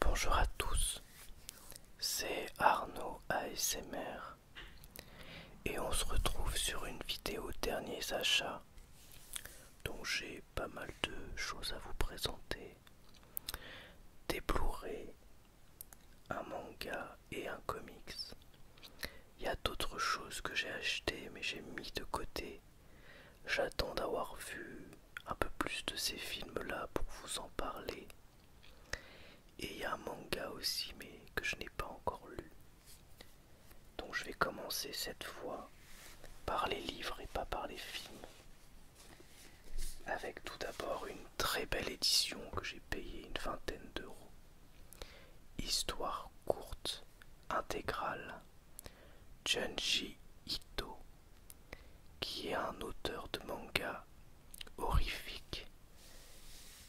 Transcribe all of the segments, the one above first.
Bonjour à tous, c'est Arnaud ASMR et on se retrouve sur une vidéo dernier achat dont j'ai pas mal de choses à vous présenter. Des un manga et un comics. Il y a d'autres choses que j'ai achetées mais j'ai mis de côté. J'attends d'avoir vu un peu plus de ces films-là pour vous en parler. Et il y a un manga aussi mais que je n'ai pas encore lu. Donc je vais commencer cette fois par les livres et pas par les films. Avec tout d'abord une très belle édition que j'ai payer une vingtaine d'euros. Histoire courte, intégrale. Junji Ito, qui est un auteur de manga horrifique.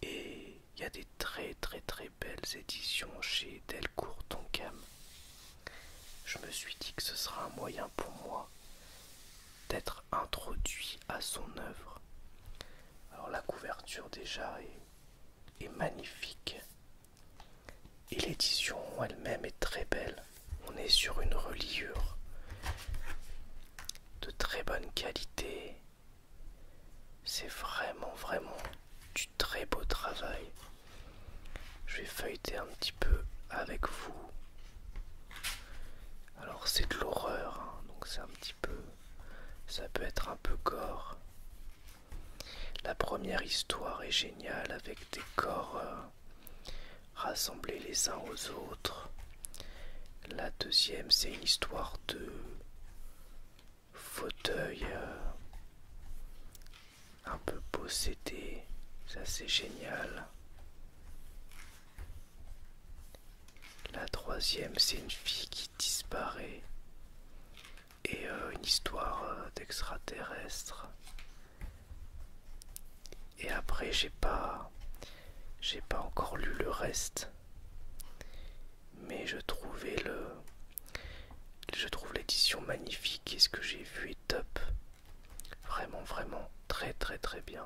Et il y a des très très très belles éditions chez Delcourt Tonkam. Je me suis dit que ce sera un moyen pour moi d'être introduit à son œuvre. Alors la couverture déjà est, magnifique et l'édition elle-même est très belle. On est sur une reliure de très bonne qualité. C'est vraiment vraiment du très beau travail. Je vais feuilleter un petit peu avec vous. Alors c'est de l'horreur, hein. donc c'est un petit peu... Ça peut être un peu gore. La première histoire est géniale avec des corps euh, rassemblés les uns aux autres. La deuxième, c'est une histoire de fauteuil euh, un peu possédé. Ça c'est génial. La troisième, c'est une fille qui disparaît et euh, une histoire euh, d'extraterrestre. Et après, j'ai pas, j'ai pas encore lu le reste, mais je trouvais le, je trouve l'édition magnifique et ce que j'ai vu est top, vraiment, vraiment très, très, très bien.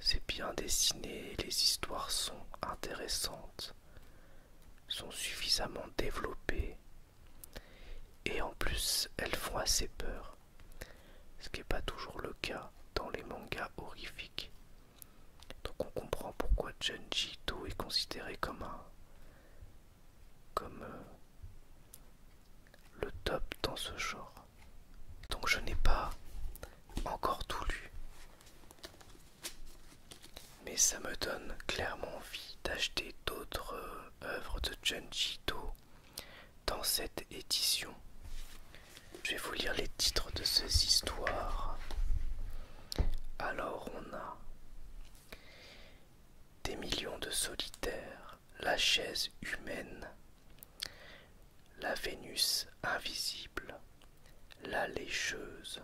C'est bien dessiné, les histoires sont intéressantes, sont suffisamment développées et en plus elles font assez peur, ce qui n'est pas toujours le cas dans les mangas horrifiques. Donc on comprend pourquoi Junji Ito est considéré comme un comme euh, le top dans ce genre. Donc je n'ai pas encore tout lu. Mais ça me donne clairement envie d'acheter d'autres euh, œuvres de Junji Ito dans cette édition. Je vais vous lire les titres de ces histoires. Alors on a des millions de solitaires, la chaise humaine, la Vénus invisible, la lécheuse,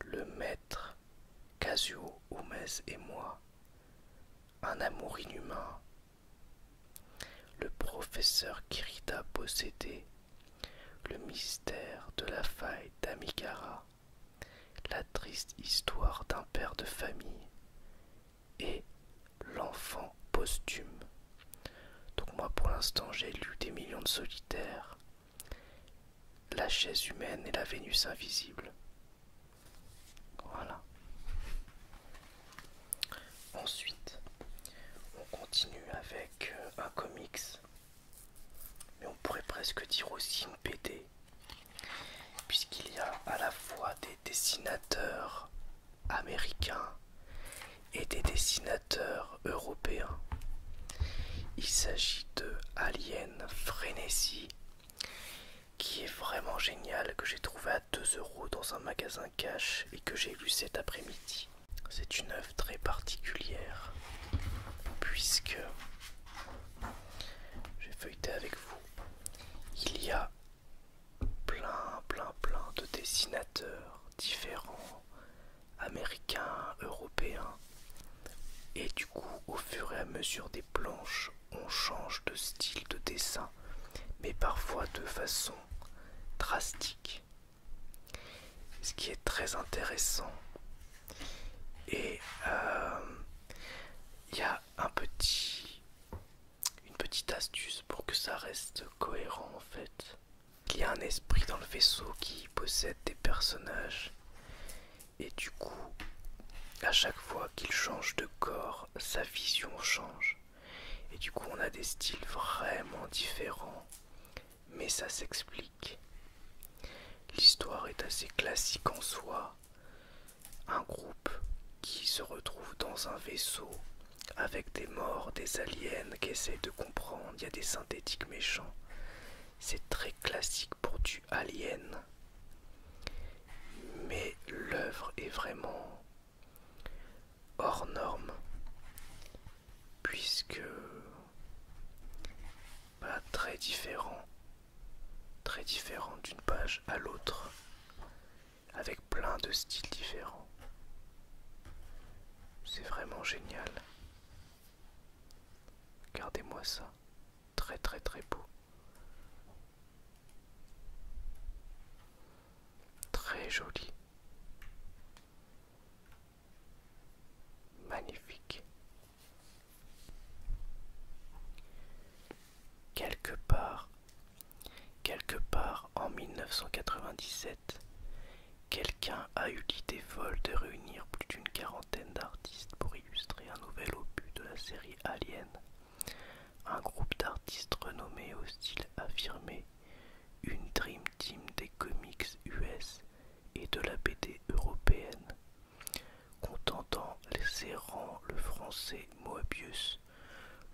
le maître, Casio, Oumès et moi, un amour inhumain, le professeur Kirita possédé, le mystère de la faille d'Amigara, la triste histoire d'un père de famille, et L'enfant posthume. Donc moi pour l'instant j'ai lu des millions de solitaires, La chaise humaine et la Vénus invisible. Voilà. Ensuite, on continue avec euh, un comics, mais on pourrait presque dire aussi une BD, puisqu'il y a à la fois des dessinateurs américains et des dessinateurs européens. Il s'agit de Alien Frenesi, qui est vraiment génial, que j'ai trouvé à 2 euros dans un magasin cash et que j'ai lu cet après-midi. C'est une œuvre très particulière, puisque j'ai feuilleté avec vous. Il y a plein, plein, plein de dessinateurs différents, américains, européens. Et du coup, au fur et à mesure des planches, on change de style de dessin, mais parfois de façon drastique. Ce qui est très intéressant. Et euh, il y a un petit une petite astuce pour que ça reste cohérent en fait. Il y a un esprit dans le vaisseau qui possède des personnages et du coup, à chaque fois qu'il change de corps, sa vision change. Et du coup, on a des styles vraiment différents, mais ça s'explique. L'histoire est assez classique en soi un groupe qui se retrouve dans un vaisseau avec des morts, des aliens qui essayent de comprendre, il y a des synthétiques méchants. C'est très classique pour du alien. Mais l'œuvre est vraiment hors norme. Puisque pas très différent. Très différent d'une page à l'autre avec plein de styles différents. C'est vraiment génial. gardez moi ça. Très très très beau. Très joli. Magnifique quelque part, quelque part en 1997, quelqu'un a eu l'idée folle de réunir plus d'une quarantaine d'artistes pour illustrer un nouvel opus de la série Alien. Un groupe d'artistes renommés au style affirmé, une dream team des comics US et de la BD européenne, contentant les errants le français Moebius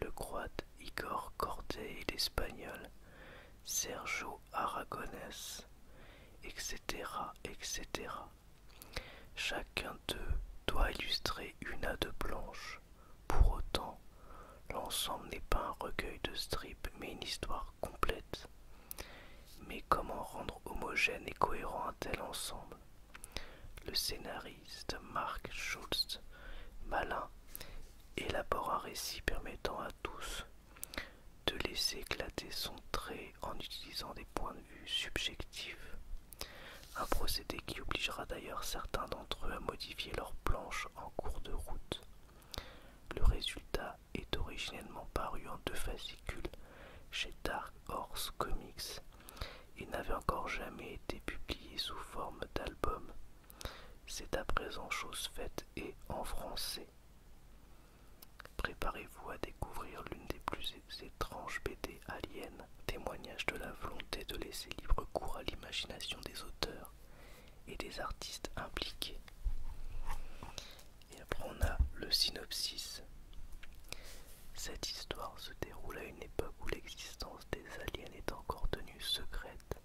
le croate Igor Cordet et l'espagnol Sergio Aragonès, etc., etc. Chacun d'eux doit illustrer une A de blanche. Pour autant, l'ensemble n'est pas un recueil de strips, mais une histoire complète. Mais comment rendre homogène et cohérent un tel ensemble le scénariste Mark Schultz, malin, élabore un récit permettant à tous de laisser éclater son trait en utilisant des points de vue subjectifs. Un procédé qui obligera d'ailleurs certains d'entre eux à modifier leurs planches en cours de route. Le résultat est originellement paru en deux fascicules chez Dark Horse Comics et n'avait encore jamais été publié sous forme d'album. C'est à présent chose faite et en français. Préparez-vous à découvrir l'une des plus étranges BD aliens, témoignage de la volonté de laisser libre cours à l'imagination des auteurs et des artistes impliqués. Et après on a le synopsis. Cette histoire se déroule à une où l'existence des aliens est encore tenue secrète,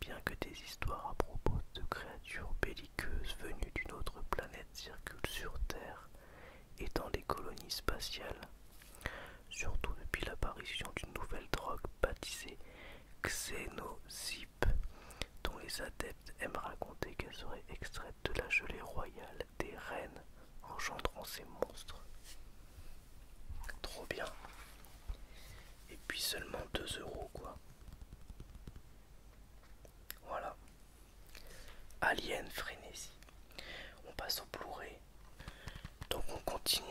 bien que des histoires à propos de créatures belliqueuses venues d'une autre planète circulent sur Terre et dans les colonies spatiales, surtout depuis l'apparition d'une nouvelle drogue baptisée Xenozip, dont les adeptes aiment raconter qu'elle serait extraite de la gelée royale des reines engendrant ces monstres. Trop bien. Et puis seulement 2 euros quoi. Voilà. Alien Frénésie. On passe au blu Donc on continue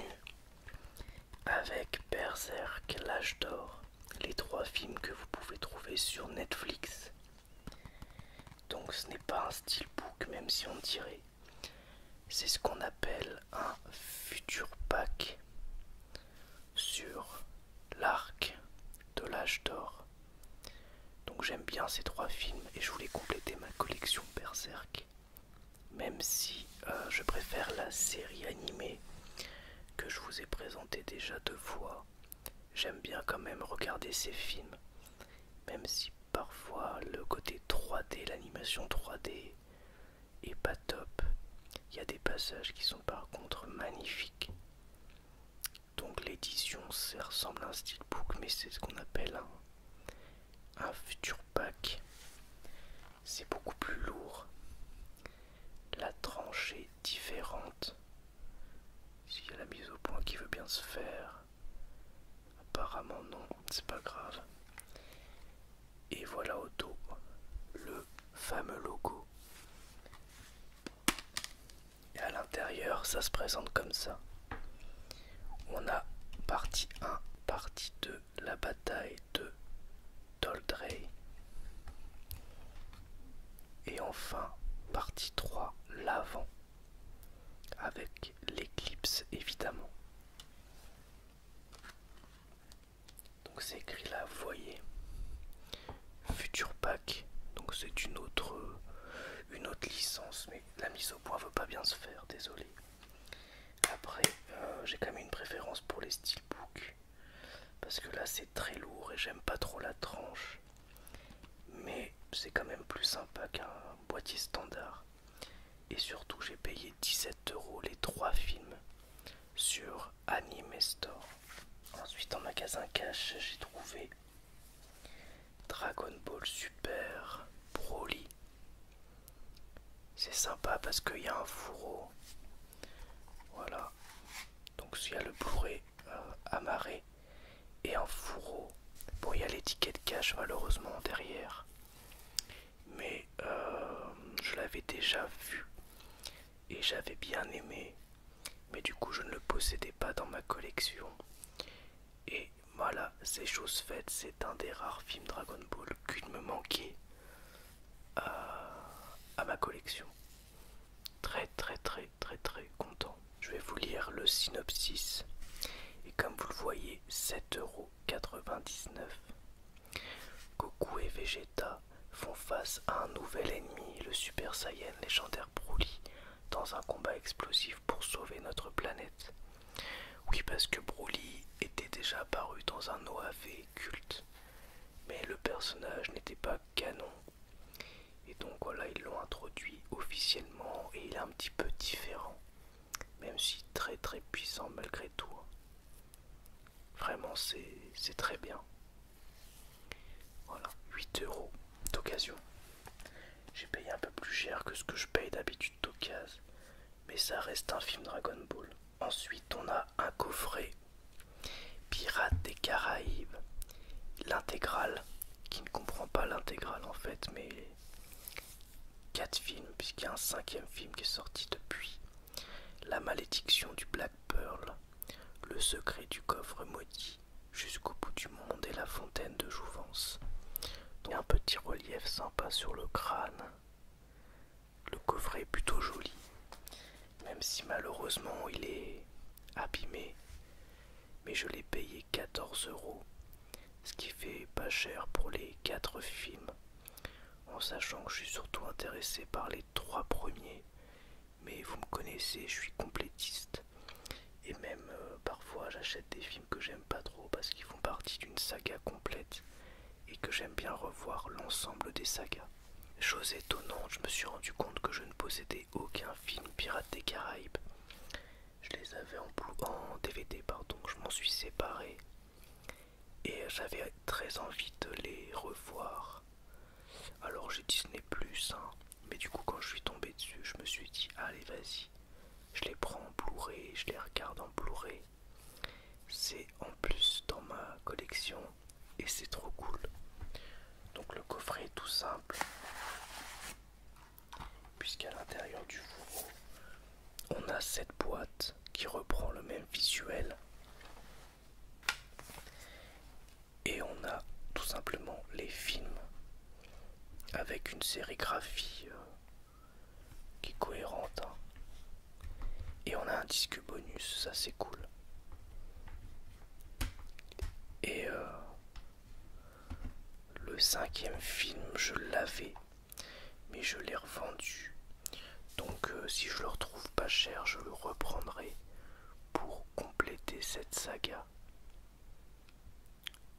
avec Berserk, l'âge d'or. Les trois films que vous pouvez trouver sur Netflix. Donc ce n'est pas un steelbook même si on dirait. C'est ce qu'on appelle un futur pack sur l'arc de l'âge d'or. Donc j'aime bien ces trois films et je voulais compléter ma collection Berserk. Même si euh, je préfère la série animée que je vous ai présentée déjà deux fois, j'aime bien quand même regarder ces films. Même si parfois le côté 3D, l'animation 3D est pas top, il y a des passages qui sont par contre magnifiques. Donc l'édition, ça ressemble à un steelbook, mais c'est ce qu'on appelle un, un futur pack. C'est beaucoup plus lourd. La tranche est différente. S'il y a la mise au point qui veut bien se faire, Apparemment non, c'est pas grave. Et voilà au dos le fameux logo. Et à l'intérieur, ça se présente comme ça. On a partie 1, partie 2, la bataille de Toldrey. Et enfin, partie 3, l'avant. Avec l'éclipse évidemment. Donc c'est écrit là, voyez. Future Pack, donc c'est une autre, une autre licence, mais la mise au point veut pas bien se faire, désolé. Après, euh, j'ai quand même une préférence pour les steelbooks, parce que là c'est très lourd et j'aime pas trop la tranche mais c'est quand même plus sympa qu'un boîtier standard. Et surtout, j'ai payé 17 euros les trois films sur Anime Store. Ensuite, en magasin cash, j'ai trouvé Dragon Ball Super Broly. C'est sympa parce qu'il y a un fourreau. Voilà. Donc, il y a le bourré euh, amarré et un fourreau. Bon, il y a l'étiquette cash malheureusement derrière, mais euh, je l'avais déjà vu et j'avais bien aimé, mais du coup, je ne le possédais pas dans ma collection. Et voilà, c'est chose faite, c'est un des rares films Dragon Ball qu'il me manquait euh, à ma collection. Très, très, très, très, très content. Je vais vous lire le synopsis. Et comme vous le voyez, 7,99€. Goku et Vegeta font face à un nouvel ennemi, le Super Saiyan légendaire Broly, dans un combat explosif pour sauver notre planète. Oui, parce que Broly était déjà apparu dans un OAV culte, mais le personnage n'était pas canon. Et donc voilà, ils l'ont introduit officiellement et il est un petit peu différent. Même si très très puissant malgré tout. Hein. Vraiment c'est très bien. Voilà, 8 euros d'occasion. J'ai payé un peu plus cher que ce que je paye d'habitude d'occasion. Mais ça reste un film Dragon Ball. Ensuite on a un coffret Pirates des Caraïbes. L'intégrale qui ne comprend pas l'intégrale en fait, mais quatre films, puisqu'il y a un cinquième film qui est sorti depuis. La malédiction du Black Pearl, Le secret du coffre maudit, Jusqu'au bout du monde et La fontaine de Jouvence. un petit relief sympa sur le crâne. Le coffret est plutôt joli, même si malheureusement il est abîmé mais je l'ai payé 14 euros, ce qui fait pas cher pour les 4 films, en sachant que je suis surtout intéressé par les 3 premiers, mais vous me connaissez, je suis complétiste, et même euh, parfois j'achète des films que j'aime pas trop parce qu'ils font partie d'une saga complète et que j'aime bien revoir l'ensemble des sagas. Chose étonnante, je me suis rendu compte que je ne possédais aucun film Pirate des Caraïbes je les avais en, DVD, pardon, je m'en suis séparé et j'avais très envie de les revoir. Alors j'ai Disney Plus, hein. mais du coup quand je suis tombé dessus, je me suis dit allez vas-y, je les prends en Blu-ray, je les regarde en Blu-ray. C'est en plus dans ma collection et c'est trop cool. Donc le coffret est tout simple puisqu'à l'intérieur du fourreau, on a cette boîte qui reprend le même visuel. Et on a tout simplement les films avec une sérigraphie euh, qui est cohérente. Hein. Et on a un disque bonus, ça c'est cool. Et euh, le cinquième film, je l'avais, mais je l'ai revendu. Donc euh, si je le retrouve pas cher, je le reprendrai pour compléter cette saga.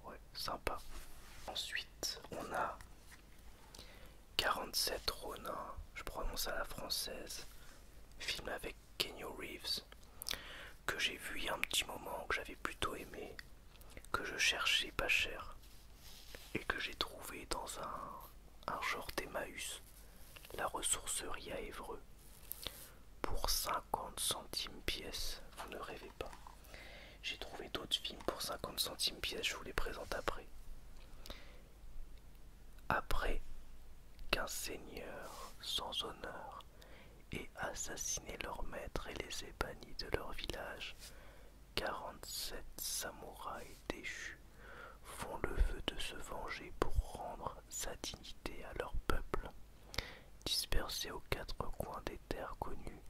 Ouais, sympa. Ensuite, on a 47 Ronin, je prononce à la française, film avec Kenny Reeves que j'ai vu il y a un petit moment, que j'avais plutôt aimé, que je cherchais pas cher, et que j'ai trouvé dans un, un genre d'Emmaüs, la ressourcerie à Évreux, pour 50 centimes pièce, vous ne rêvez pas. J'ai trouvé d'autres films pour 50 centimes pièces je vous les présente après. Après qu'un seigneur sans honneur et assassiner leurs maîtres et les ai de leur village. Quarante-sept samouraïs déchus font le vœu de se venger pour rendre sa dignité à leur peuple. Dispersés aux quatre coins des terres connues,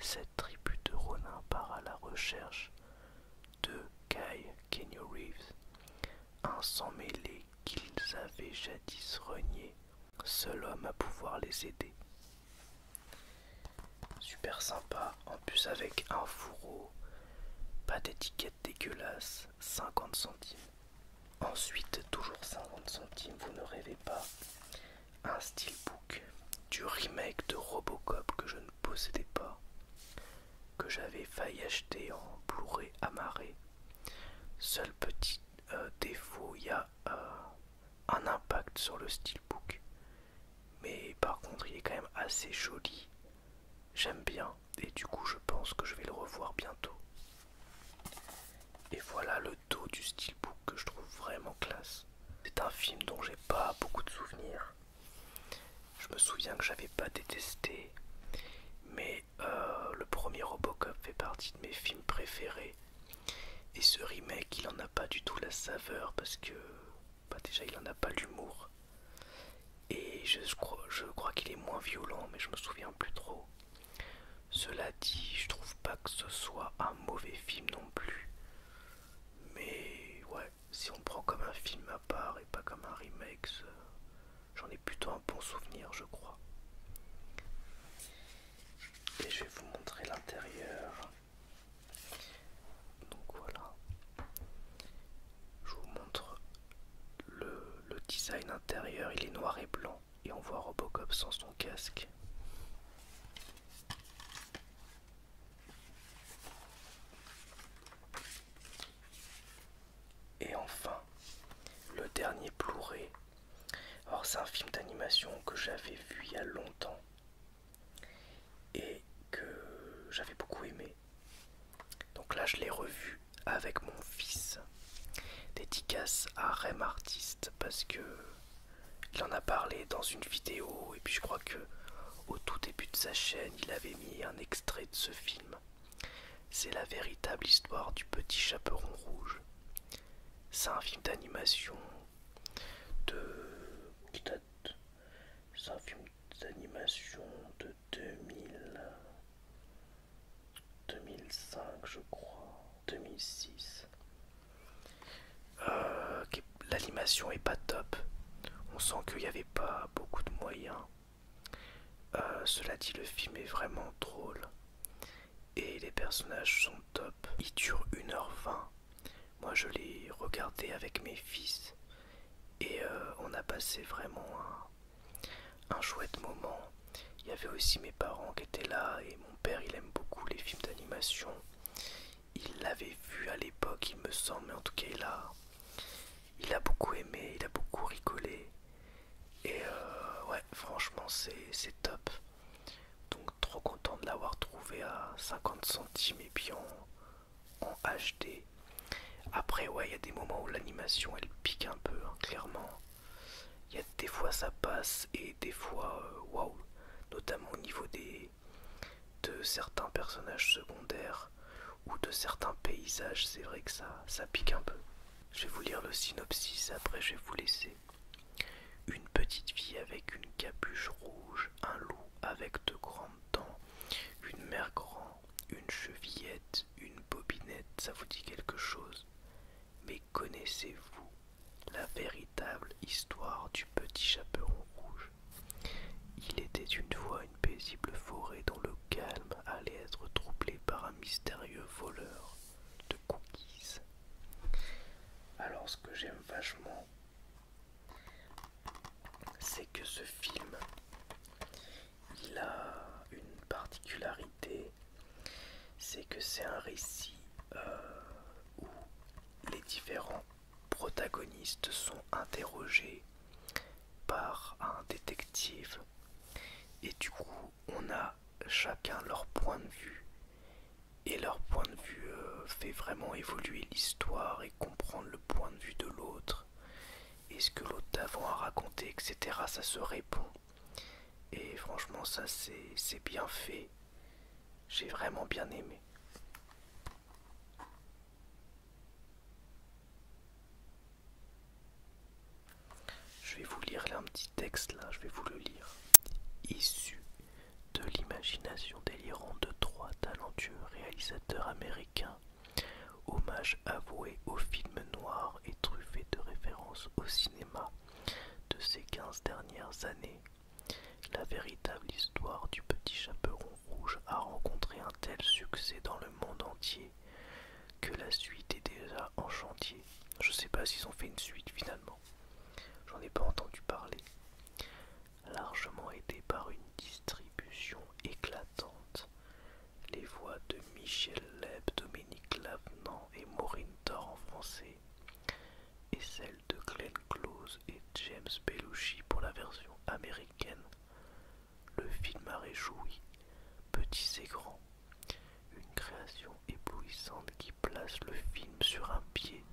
cette tribu de Ronin part à la recherche de Kai Kenyo Reeves, un sang mêlé qu'ils avaient jadis renié, seul homme à pouvoir les aider. Super sympa, en plus avec un fourreau, pas d'étiquette dégueulasse, 50 centimes. Ensuite, toujours 50 centimes, vous ne rêvez pas, un steelbook du remake de Robocop que je ne possédais pas, que j'avais failli acheter en Blu-ray amarré. Seul petit euh, défaut, il y a euh, un impact sur le book Mais par contre, il est quand même assez joli. J'aime bien. Et du coup, je pense que je vais le revoir bientôt. Et voilà le dos du book que je trouve vraiment classe. C'est un film dont j'ai pas beaucoup de souvenirs. Je me souviens que j'avais pas détesté, mais euh, le premier Robocop fait partie de mes films préférés. Et ce remake, il en a pas du tout la saveur parce que pas bah, déjà il en a pas l'humour. Et je, crois, je crois qu'il est moins violent, mais je me souviens plus trop. Cela dit, je trouve pas que ce soit un mauvais film non plus. Mais ouais, si on prend comme un film à part et pas comme un remake, J'en ai plutôt un bon souvenir, je crois. Et je vais vous montrer l'intérieur. Donc voilà. Je vous montre le, design intérieur. Il est noir et blanc. Et on voit Robocop sans son casque. Et enfin, Le Dernier Plouré. Alors c'est un film d'animation que j'avais vu il y a longtemps et que j'avais beaucoup aimé. Donc là je l'ai revu avec mon fils. Dédicace à Rem Artiste parce que il en a parlé dans une vidéo et puis je crois que au tout début de sa chaîne il avait mis un extrait de ce film c'est la véritable histoire du petit chaperon rouge. C'est un film d'animation de. qui date. C'est un film d'animation de 2000. 2005, je crois. 2006. Euh, l'animation est pas top. On sent qu'il n'y avait pas beaucoup de moyens. Euh, cela dit, le film est vraiment drôle et les personnages sont top. Il dure 1h20. Moi, je l'ai regardé avec mes fils et euh, on a passé vraiment un, un chouette moment. Il y avait aussi mes parents qui étaient là et mon père, il aime beaucoup les films d'animation. Il l'avait vu à l'époque, il me semble, mais en tout cas, il là il a beaucoup aimé, il a beaucoup rigolé. Et euh, ouais, franchement, c'est top. Donc, trop content de l'avoir trouvé à 50 centimes et puis en, HD. Après, ouais, il y a des moments où l'animation elle pique un peu, hein, clairement. Il y a des fois ça passe et des fois, euh, waouh, wow, notamment au niveau des de certains personnages secondaires ou de certains paysages, c'est vrai que ça, ça pique un peu. Je vais vous lire le synopsis, après je vais vous laisser. Une petite fille avec une capuche rouge, un loup avec de grandes dents, une mère grand, une chevillette, une bobinette, ça vous dit quelque chose Mais connaissez-vous la véritable histoire du petit chaperon rouge Il était une fois une paisible forêt dans le calme allait être troublé par un mystérieux voleur de cookies. Alors ce que j'aime vachement, c'est que ce film, il a une particularité, c'est que c'est un récit euh, où les différents protagonistes sont interrogés par un détective et du coup, on a chacun leur point de vue. Et leur point de vue euh, fait vraiment évoluer l'histoire et comprendre le point de vue de l'autre. Et ce que l'autre d'avant a raconté, etc. Ça se répond. Et franchement, ça c'est bien fait. J'ai vraiment bien aimé. Je vais vous lire un petit texte là, je vais vous le lire. Issu de l'imagination délirante de trois talentueux réalisateurs américains, hommage avoué aux film noirs et truffé de références au cinéma de ces quinze dernières années, la véritable histoire du petit chaperon rouge a rencontré un tel succès dans le monde entier que la suite est déjà en chantier. Je sais pas s'ils ont fait une suite finalement. J'en ai pas entendu parler. Largement aidé par une distribution éclatante, les voix de Michel Leb, Dominique Lavenant et Maureen Thor en français, et celles de Glenn Close et James Belushi pour la version américaine le film a réjoui, petits et grands. Une création éblouissante qui place le film sur un pied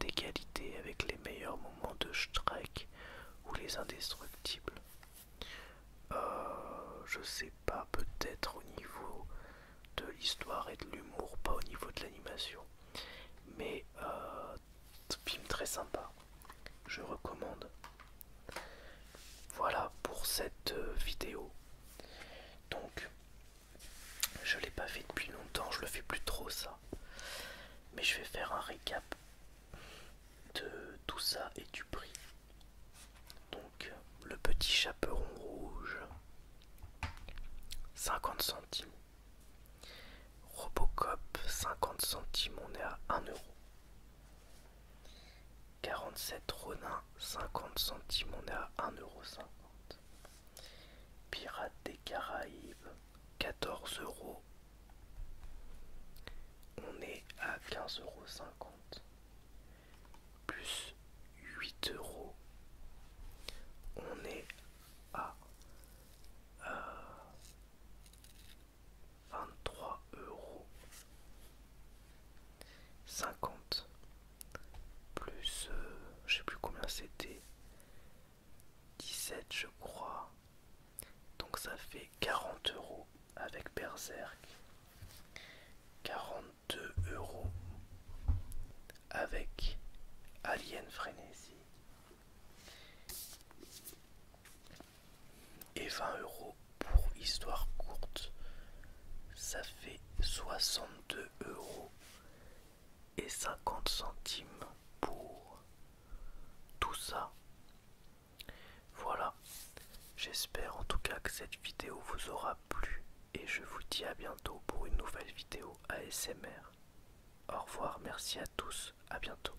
d'égalité avec les meilleurs moments de Shrek ou les indestructibles. Euh, je sais pas, peut-être au niveau de l'histoire et de l'humour, pas au niveau de l'animation. Mais euh, film très sympa, je recommande. Voilà pour cette euh, vidéo. Donc, je l'ai pas fait depuis longtemps, je le fais plus trop ça. Mais je vais faire un récap de tout ça et du prix. Donc, le petit chaperon rouge, 50 centimes. Robocop, 50 centimes, on est à 1 euro. 47 Ronin, 50 centimes, on est à 1,50€. Pirates des Caraïbes, 14 euros. On est à 15,50€. Plus 8 euros. On est à euh, 23 euros 50 plus euh, je sais plus combien c'était 17 je crois donc ça fait 40 euros avec berserk 42 euros avec alien frénésie et 20 euros pour histoire courte, ça fait 62 euros et 50 centimes pour tout ça. Voilà, j'espère en tout cas que cette vidéo vous aura plu et je vous dis à bientôt pour une nouvelle vidéo ASMR. Au revoir, merci à tous, à bientôt.